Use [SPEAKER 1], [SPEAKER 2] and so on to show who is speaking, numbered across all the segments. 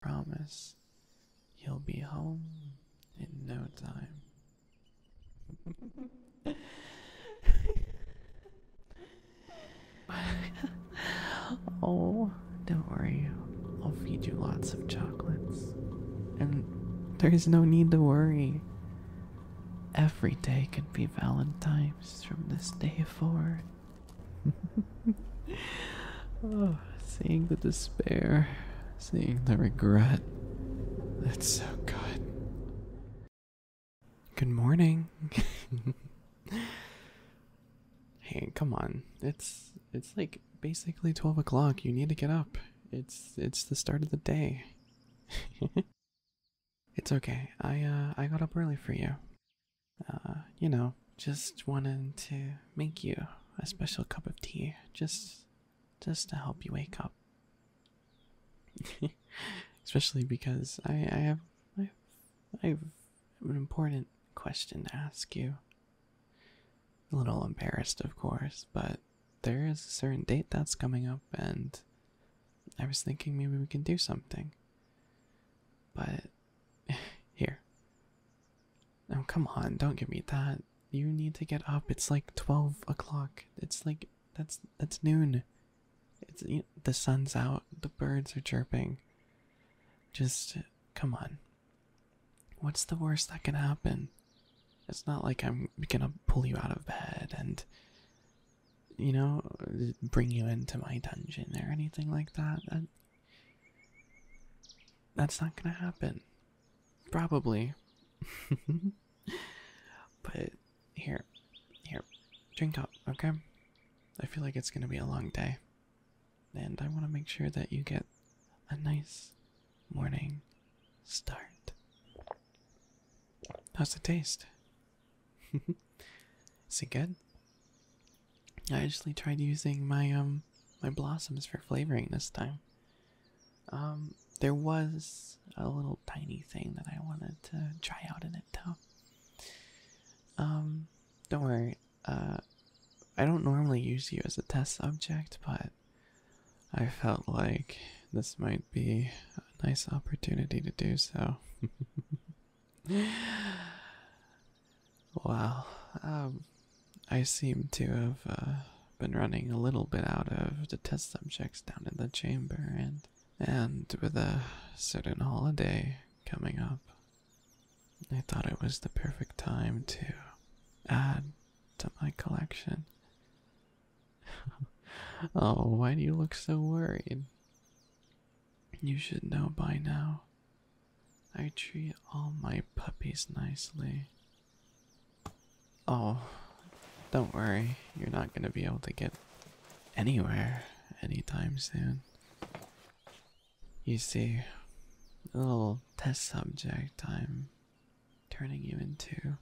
[SPEAKER 1] promise he will be home in no time. oh, don't worry. I'll feed you lots of chocolates. And there's no need to worry. Every day can be Valentine's from this day forward oh, seeing the despair, seeing the regret. That's so good. Good morning. hey, come on. It's it's like basically twelve o'clock. You need to get up. It's it's the start of the day. it's okay. I uh I got up early for you. Uh, you know, just wanted to make you a special cup of tea, just just to help you wake up. Especially because I, I have I I have an important question to ask you. A little embarrassed, of course, but there is a certain date that's coming up, and I was thinking maybe we can do something. But Here. Oh, come on, don't give me that. You need to get up. It's like 12 o'clock. It's like, that's that's noon. It's The sun's out. The birds are chirping. Just, come on. What's the worst that can happen? It's not like I'm gonna pull you out of bed and, you know, bring you into my dungeon or anything like That that's not gonna happen. Probably. but here, here, drink up, okay? I feel like it's gonna be a long day. And I wanna make sure that you get a nice morning start. How's it taste? Is it good? I actually tried using my um my blossoms for flavoring this time. Um, there was a little tiny thing that I wanted to try out in it though. Um, don't worry. Uh, I don't normally use you as a test subject, but I felt like this might be a nice opportunity to do so. Well, um, I seem to have uh, been running a little bit out of the test subjects down in the chamber, and and with a certain holiday coming up, I thought it was the perfect time to add to my collection. oh, why do you look so worried? You should know by now. I treat all my puppies nicely. Oh, don't worry, you're not going to be able to get anywhere anytime soon. You see, little test subject I'm turning you into.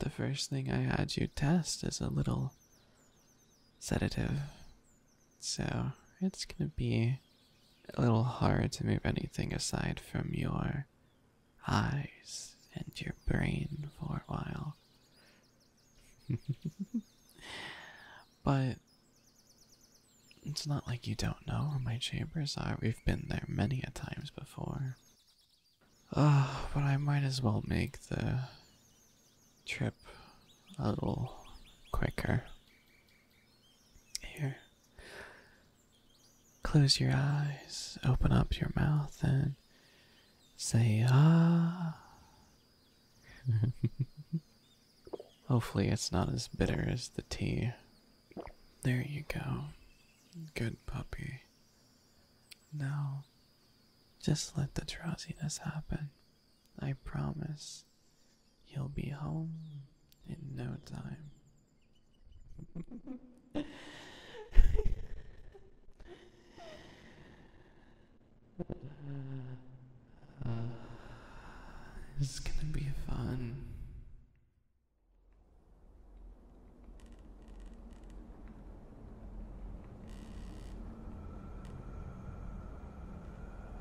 [SPEAKER 1] The first thing I had you test is a little sedative so it's going to be a little hard to move anything aside from your eyes and your brain for a while. but it's not like you don't know where my chambers are. We've been there many a times before. Oh, but I might as well make the trip a little quicker. Here. Close your eyes, open up your mouth, and say, ah. Hopefully, it's not as bitter as the tea. There you go. Good puppy. Now, just let the drowsiness happen. I promise he will be home in no time. uh, this is gonna be fun.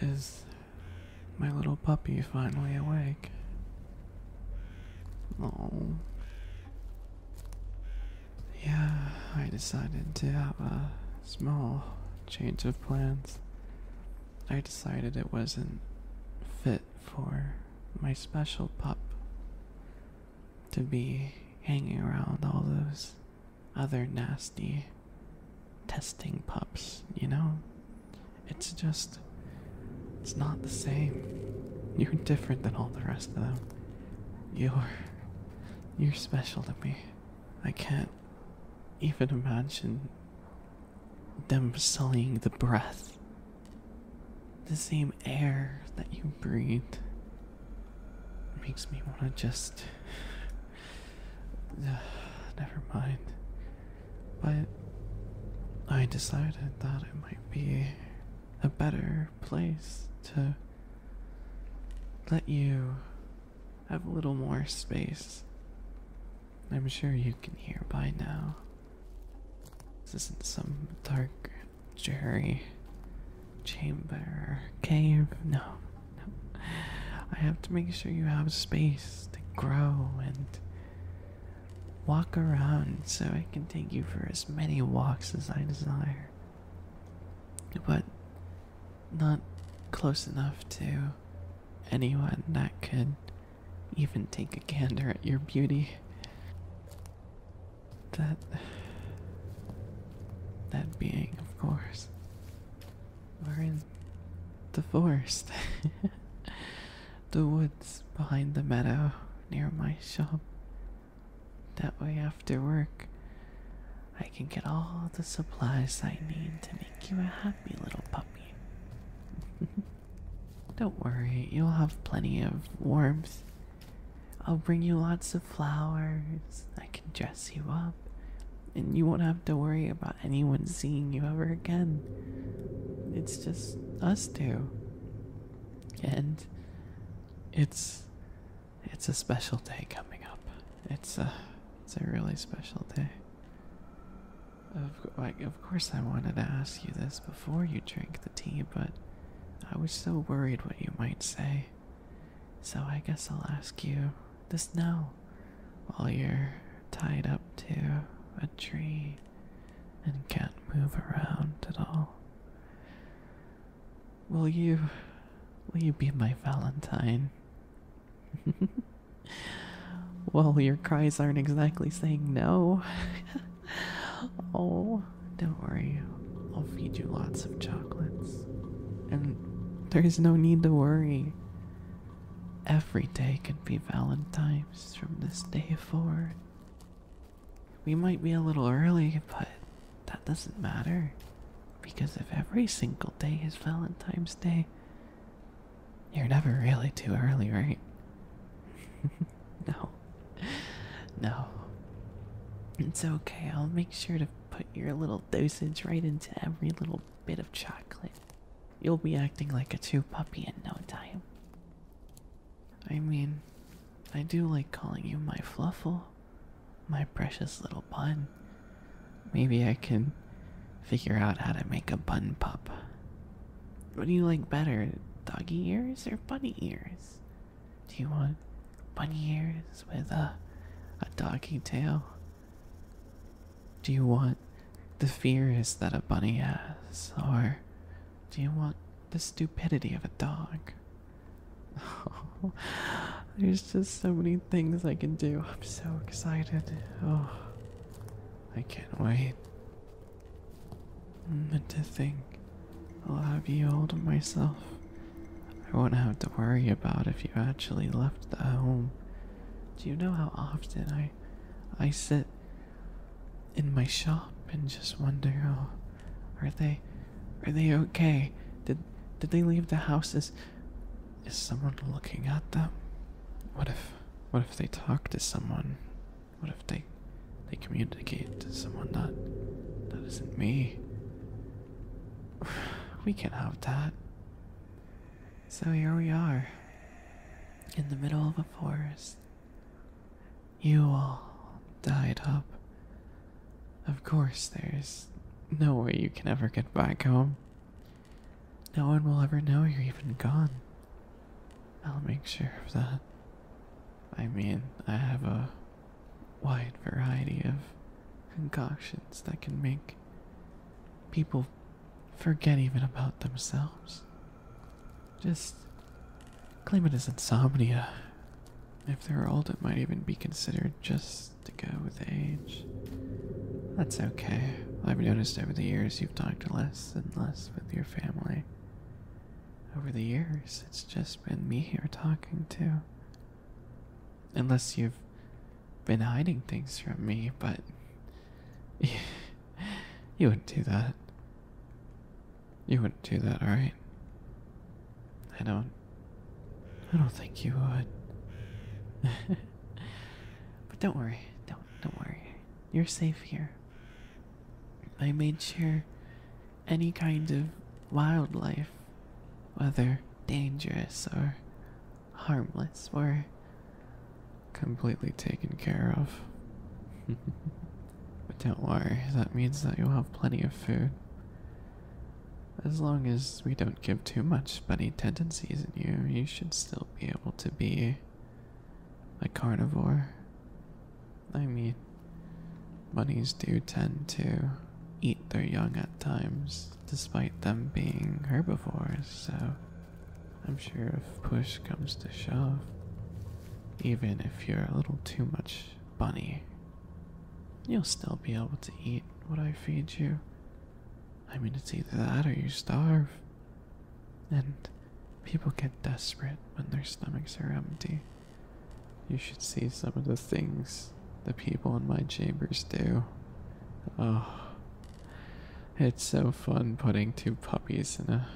[SPEAKER 1] Is my little puppy finally awake? Oh. Yeah, I decided to have a small change of plans. I decided it wasn't fit for my special pup to be hanging around all those other nasty testing pups, you know? It's just. It's not the same. You're different than all the rest of them. You're. You're special to me. I can't even imagine them sullying the breath. The same air that you breathe makes me want to just. never mind but I decided that it might be a better place to let you have a little more space. I'm sure you can hear by now. This isn't some dark, dreary chamber or cave. No, no. I have to make sure you have space to grow and walk around so I can take you for as many walks as I desire. But not close enough to anyone that could even take a gander at your beauty. That. That being, of course. We're in the forest. the woods behind the meadow near my shop. That way, after work, I can get all the supplies I need to make you a happy little puppy. Don't worry, you'll have plenty of warmth. I'll bring you lots of flowers. I can dress you up, and you won't have to worry about anyone seeing you ever again. It's just us two. And it's it's a special day coming up. It's a it's a really special day. Of like, of course, I wanted to ask you this before you drink the tea, but I was so worried what you might say. So I guess I'll ask you the snow while you're tied up to a tree and can't move around at all. Will you will you be my Valentine? well, your cries aren't exactly saying no. oh, don't worry. I'll feed you lots of chocolates. And there's no need to worry. Every day can be Valentine's from this day forward. We might be a little early, but that doesn't matter. Because if every single day is Valentine's Day, you're never really too early, right? no. No. It's okay, I'll make sure to put your little dosage right into every little bit of chocolate. You'll be acting like a 2 puppy in no time. I mean, I do like calling you my fluffle, my precious little bun. Maybe I can figure out how to make a bun pup. What do you like better, doggy ears or bunny ears? Do you want bunny ears with a, a doggy tail? Do you want the fears that a bunny has, or do you want the stupidity of a dog? Oh, there's just so many things I can do. I'm so excited. Oh, I can't wait. And mm, to think I'll have you all to myself. I won't have to worry about if you actually left the home. Do you know how often I I, sit in my shop and just wonder, oh, are they, are they okay? Did, did they leave the houses? Is, is someone looking at them? What if, what if they talk to someone? What if they, they communicate to someone that, that isn't me? We can't have that. So here we are, in the middle of a forest. You all died up. Of course, there's no way you can ever get back home. No one will ever know you're even gone. I'll make sure of that. I mean, I have a wide variety of concoctions that can make people forget even about themselves. Just claim it as insomnia. If they're old, it might even be considered just to go with age. That's okay. I've noticed over the years you've talked less and less with your family. Over the years, it's just been me here talking to. Unless you've been hiding things from me, but you wouldn't do that. You wouldn't do that, alright? I don't. I don't think you would. but don't worry. Don't don't worry. You're safe here. I made sure any kind of wildlife, whether dangerous or harmless. We're completely taken care of. but don't worry, that means that you'll have plenty of food. As long as we don't give too much bunny tendencies in you, you should still be able to be a carnivore. I mean, bunnies do tend to eat their young at times despite them being herbivores, so I'm sure if push comes to shove, even if you're a little too much bunny, you'll still be able to eat what I feed you. I mean, it's either that or you starve. And people get desperate when their stomachs are empty. You should see some of the things the people in my chambers do. Oh, it's so fun putting two puppies in a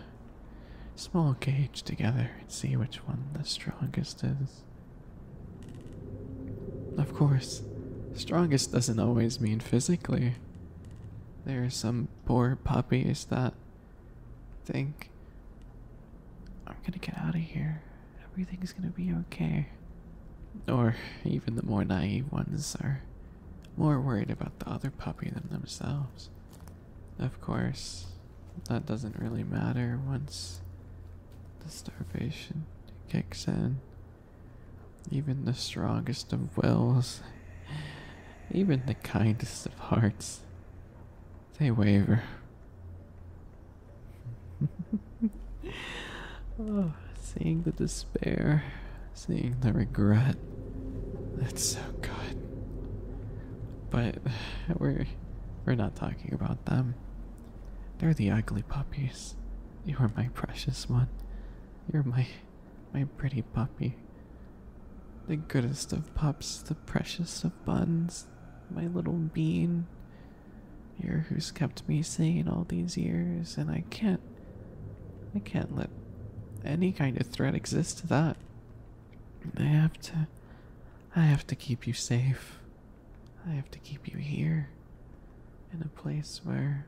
[SPEAKER 1] small cage together and see which one the strongest is. Of course, strongest doesn't always mean physically. There are some poor puppies that think, I'm gonna get out of here, everything's gonna be okay or even the more naive ones, are more worried about the other puppy than themselves. Of course, that doesn't really matter once the starvation kicks in. Even the strongest of wills, even the kindest of hearts, they waver. oh, seeing the despair, seeing the regret. That's so good. But we're we're not talking about them. They're the ugly puppies. You are my precious one. You're my my pretty puppy. The goodest of pups, the precious of buns, my little bean. You're who's kept me sane all these years, and I can't I can't let any kind of threat exist to that. I have to. I have to keep you safe. I have to keep you here. In a place where.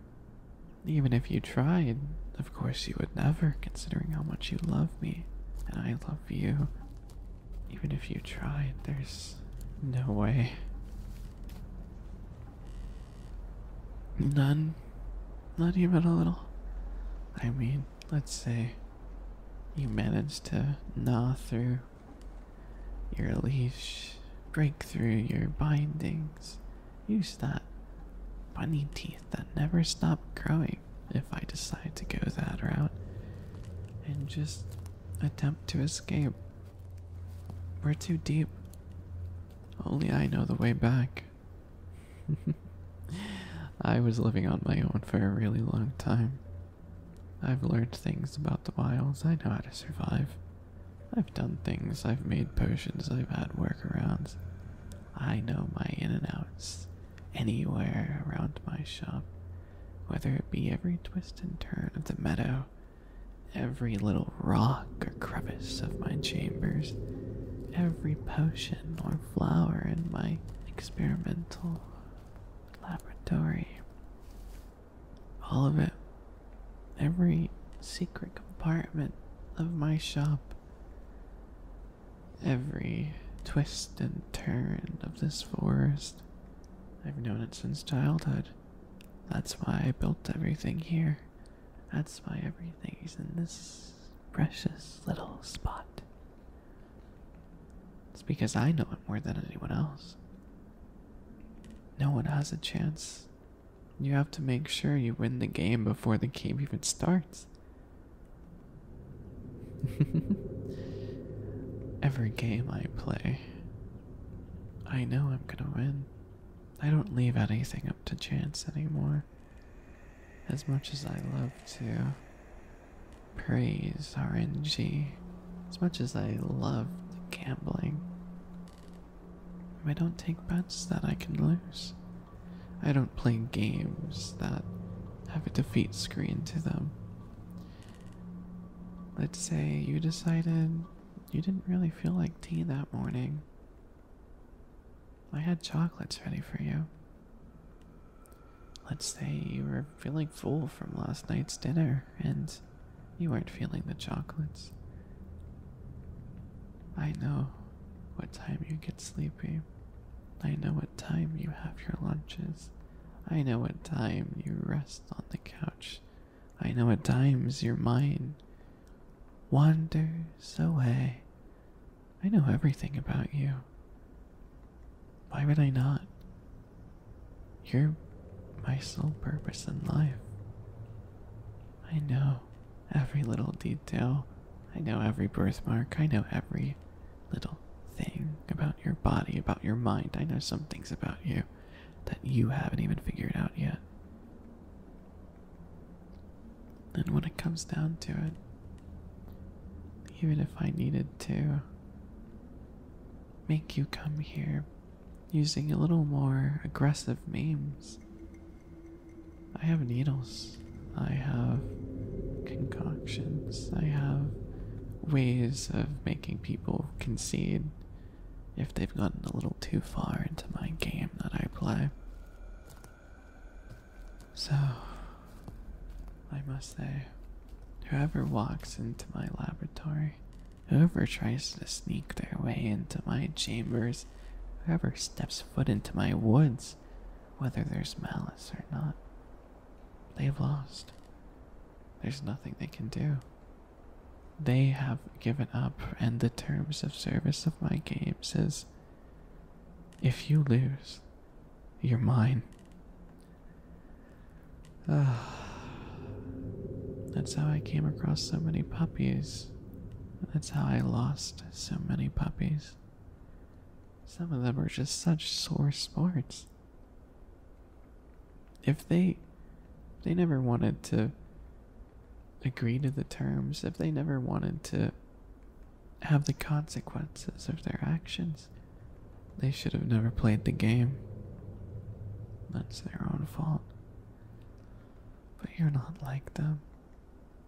[SPEAKER 1] Even if you tried, of course you would never, considering how much you love me and I love you. Even if you tried, there's no way. None. Not even a little. I mean, let's say you managed to gnaw through your leash, break through your bindings, use that bunny teeth that never stop growing if I decide to go that route, and just attempt to escape we're too deep. Only I know the way back. I was living on my own for a really long time. I've learned things about the wilds. I know how to survive. I've done things. I've made potions. I've had workarounds. I know my in and outs anywhere around my shop, whether it be every twist and turn of the meadow every little rock or crevice of my chambers, every potion or flower in my experimental laboratory. All of it, every secret compartment of my shop, every twist and turn of this forest. I've known it since childhood. That's why I built everything here. That's why everything is in this precious little spot. It's because I know it more than anyone else. No one has a chance. You have to make sure you win the game before the game even starts. Every game I play, I know I'm gonna win. I don't leave anything up to chance anymore. As much as I love to praise RNG, as much as I love gambling, I don't take bets that I can lose. I don't play games that have a defeat screen to them. Let's say you decided you didn't really feel like tea that morning. I had chocolates ready for you. Let's say you were feeling full from last night's dinner and you weren't feeling the chocolates. I know what time you get sleepy. I know what time you have your lunches. I know what time you rest on the couch I know at times your mind wanders away. I know everything about you. Why would I not? You're my sole purpose in life. I know every little detail. I know every birthmark. I know every little thing about your body, about your mind. I know some things about you that you haven't even figured out yet. And when it comes down to it, even if I needed to make you come here using a little more aggressive memes, I have needles, I have concoctions, I have ways of making people concede if they've gotten a little too far into my game that I play. So, I must say, whoever walks into my laboratory, whoever tries to sneak their way into my chambers, whoever steps foot into my woods, whether there's malice or not, they've lost. There's nothing they can do. They have given up, and the terms of service of my game says if you lose, you're mine. Ah, that's how I came across so many puppies. That's how I lost so many puppies. Some of them were just such sore sports if they they never wanted to agree to the terms, if they never wanted to have the consequences of their actions, they should have never played the game. That's their own fault. But you're not like them.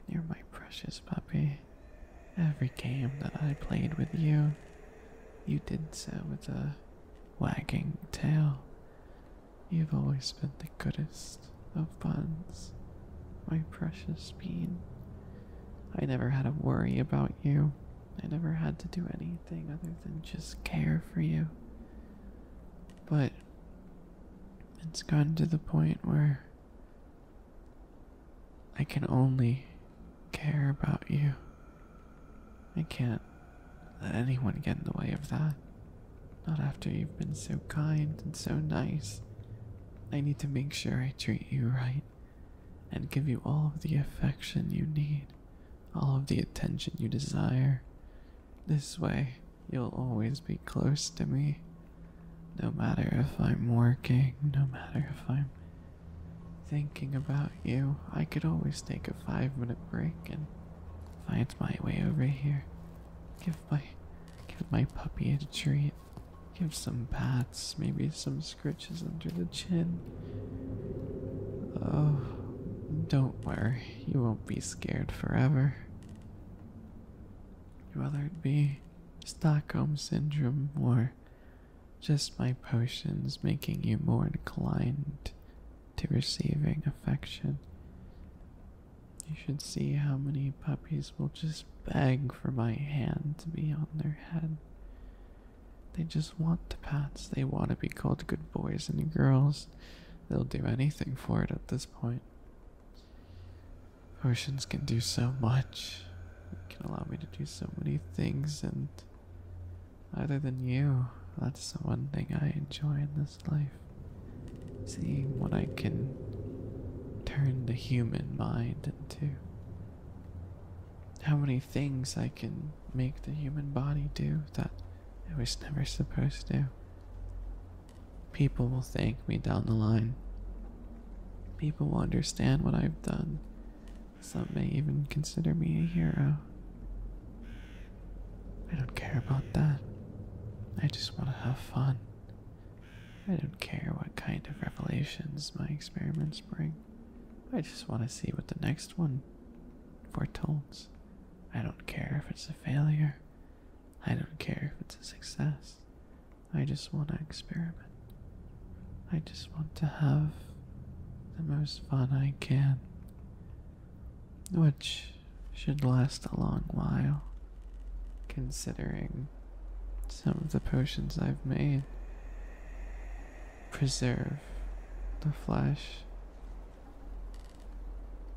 [SPEAKER 1] You're my precious puppy. Every game that I played with you, you did so with a wagging tail. You've always been the goodest of buns, my precious bean. I never had to worry about you. I never had to do anything other than just care for you. But it's gotten to the point where I can only care about you. I can't let anyone get in the way of that. Not after you've been so kind and so nice. I need to make sure I treat you right and give you all of the affection you need, all of the attention you desire. This way, you'll always be close to me. No matter if I'm working, no matter if I'm thinking about you, I could always take a five minute break and Find my way over here. Give my give my puppy a treat. Give some pats, maybe some scritches under the chin. Oh, don't worry, you won't be scared forever. Whether it be Stockholm Syndrome or just my potions making you more inclined to receiving affection. You should see how many puppies will just beg for my hand to be on their head. They just want to pat. they want to be called good boys and girls. They'll do anything for it at this point. Oceans can do so much. It can allow me to do so many things and other than you. That's the one thing I enjoy in this life. Seeing what I can turn the human mind into. How many things I can make the human body do that it was never supposed to. People will thank me down the line. People will understand what I've done. Some may even consider me a hero. I don't care about that. I just want to have fun. I don't care what kind of revelations my experiments bring. I just want to see what the next one foretold. I don't care if it's a failure. I don't care if it's a success. I just want to experiment. I just want to have the most fun I can which should last a long while, considering some of the potions I've made preserve the flesh.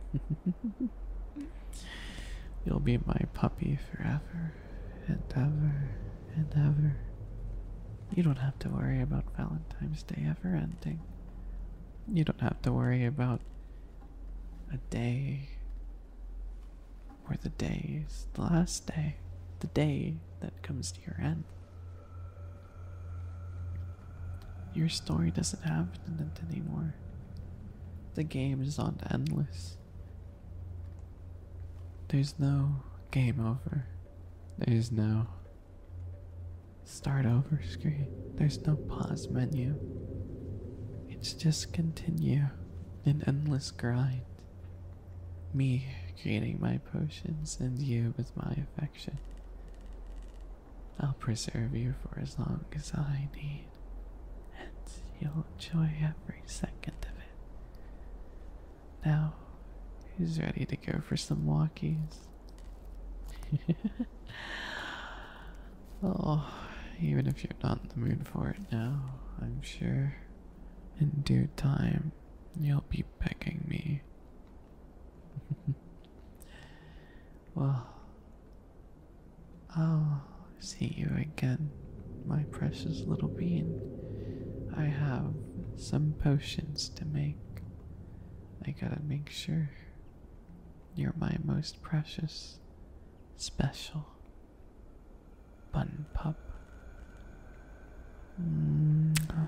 [SPEAKER 1] You'll be my puppy forever and ever and ever. You don't have to worry about Valentine's Day ever ending. You don't have to worry about a day or the days, the last day, the day that comes to your end. Your story doesn't have an end anymore. The game is on endless. There's no game over. There's no Start over screen. There's no pause menu. It's just continue. An endless grind. Me creating my potions and you with my affection. I'll preserve you for as long as I need, and you'll enjoy every second of it. Now, who's ready to go for some walkies? oh, even if you're not in the mood for it now, I'm sure in due time you'll be begging me. well, I'll see you again, my precious little bean. I have some potions to make. I gotta make sure you're my most precious, special bun pup. Mm -hmm.